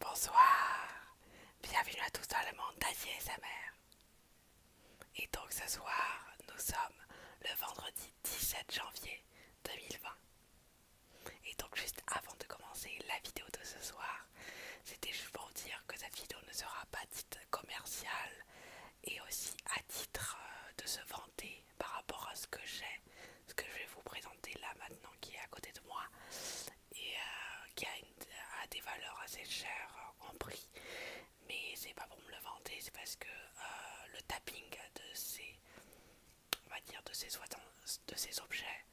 Bonsoir, bienvenue à tous dans le monde d'Asie et sa mère. Et donc ce soir, nous sommes le vendredi 17 janvier 2020. Et donc juste avant de commencer la vidéo de ce soir, c'était juste pour dire que cette vidéo ne sera pas dite commerciale et aussi à titre euh, de se vanter par rapport à ce que j'ai, ce que je vais vous présenter là maintenant qui est à côté de moi et euh, qui a, des valeurs assez chères euh, en prix mais c'est pas pour me le vanter c'est parce que euh, le tapping de ces on va dire de ces, de ces objets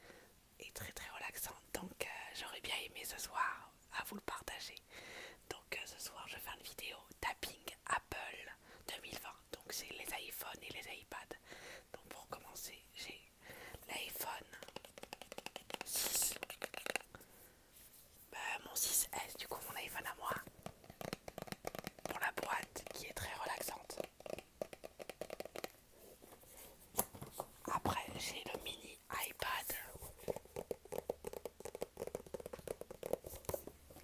est très très relaxant donc j'aurais bien aimé ce soir à vous le partager donc ce soir je vais faire une vidéo tapping Apple 2020 donc c'est les iPhones et les iPads. Donc pour commencer, j'ai l'iPhone 6. Bah, mon 6S, du coup mon iPhone à moi. Pour la boîte qui est très relaxante. Après j'ai le mini iPad.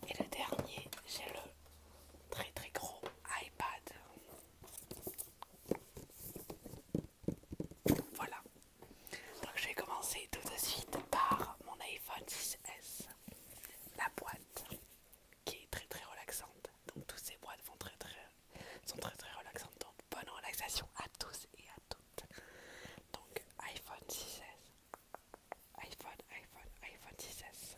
Et le dernier, j'ai le très très gros iPad. Voilà. Donc je vais commencer tout de suite par mon iPhone 6S. La boîte qui est très très relaxante. Donc toutes ces boîtes très, sont très très relaxantes. Donc bonne relaxation à tous et à toutes. Donc iPhone 6S. iPhone, iPhone, iPhone 6S.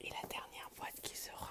Et la dernière boîte qui sera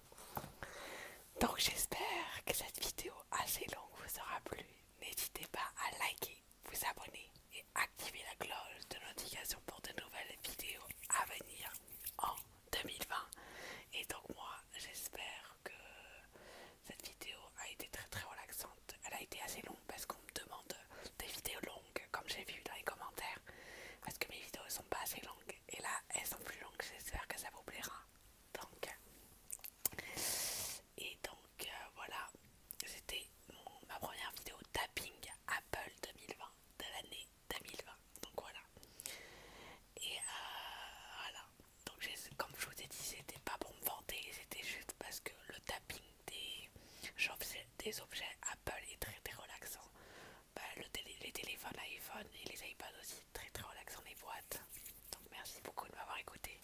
Donc j'espère que cette vidéo assez longue vous aura plu. N'hésitez pas à liker, vous abonner et activer la cloche de notification pour de nouvelles vidéos à venir en 2020. Et donc moi j'espère que cette vidéo a été très très relaxante. Elle a été assez longue parce qu'on me demande des vidéos longues comme j'ai vu dans les commentaires. Parce que mes vidéos sont pas assez longues et là elles sont plus longues, j'espère que ça vous plaira. Donc, euh, et donc euh, voilà, c'était ma première vidéo tapping Apple 2020 de l'année 2020. Donc voilà, et euh, voilà. Donc, comme je vous ai dit, c'était pas pour me vanter, c'était juste parce que le tapping des, des objets Apple est très très relaxant. Bah, les téléphones, l'iPhone et les iPads aussi, très très relaxant les boîtes. Donc merci beaucoup de m'avoir écouté.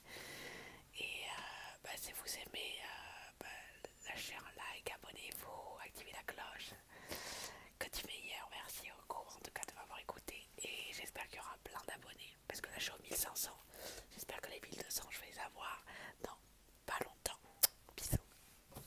Et euh, bah, si vous aimez, euh, bah, lâchez un like, abonnez-vous, activez la cloche. Que du meilleur, merci encore en tout cas de m'avoir écouté. Et j'espère qu'il y aura plein d'abonnés. Parce que là je suis aux 1500. J'espère que les 1200 je vais les avoir dans pas longtemps. Bisous.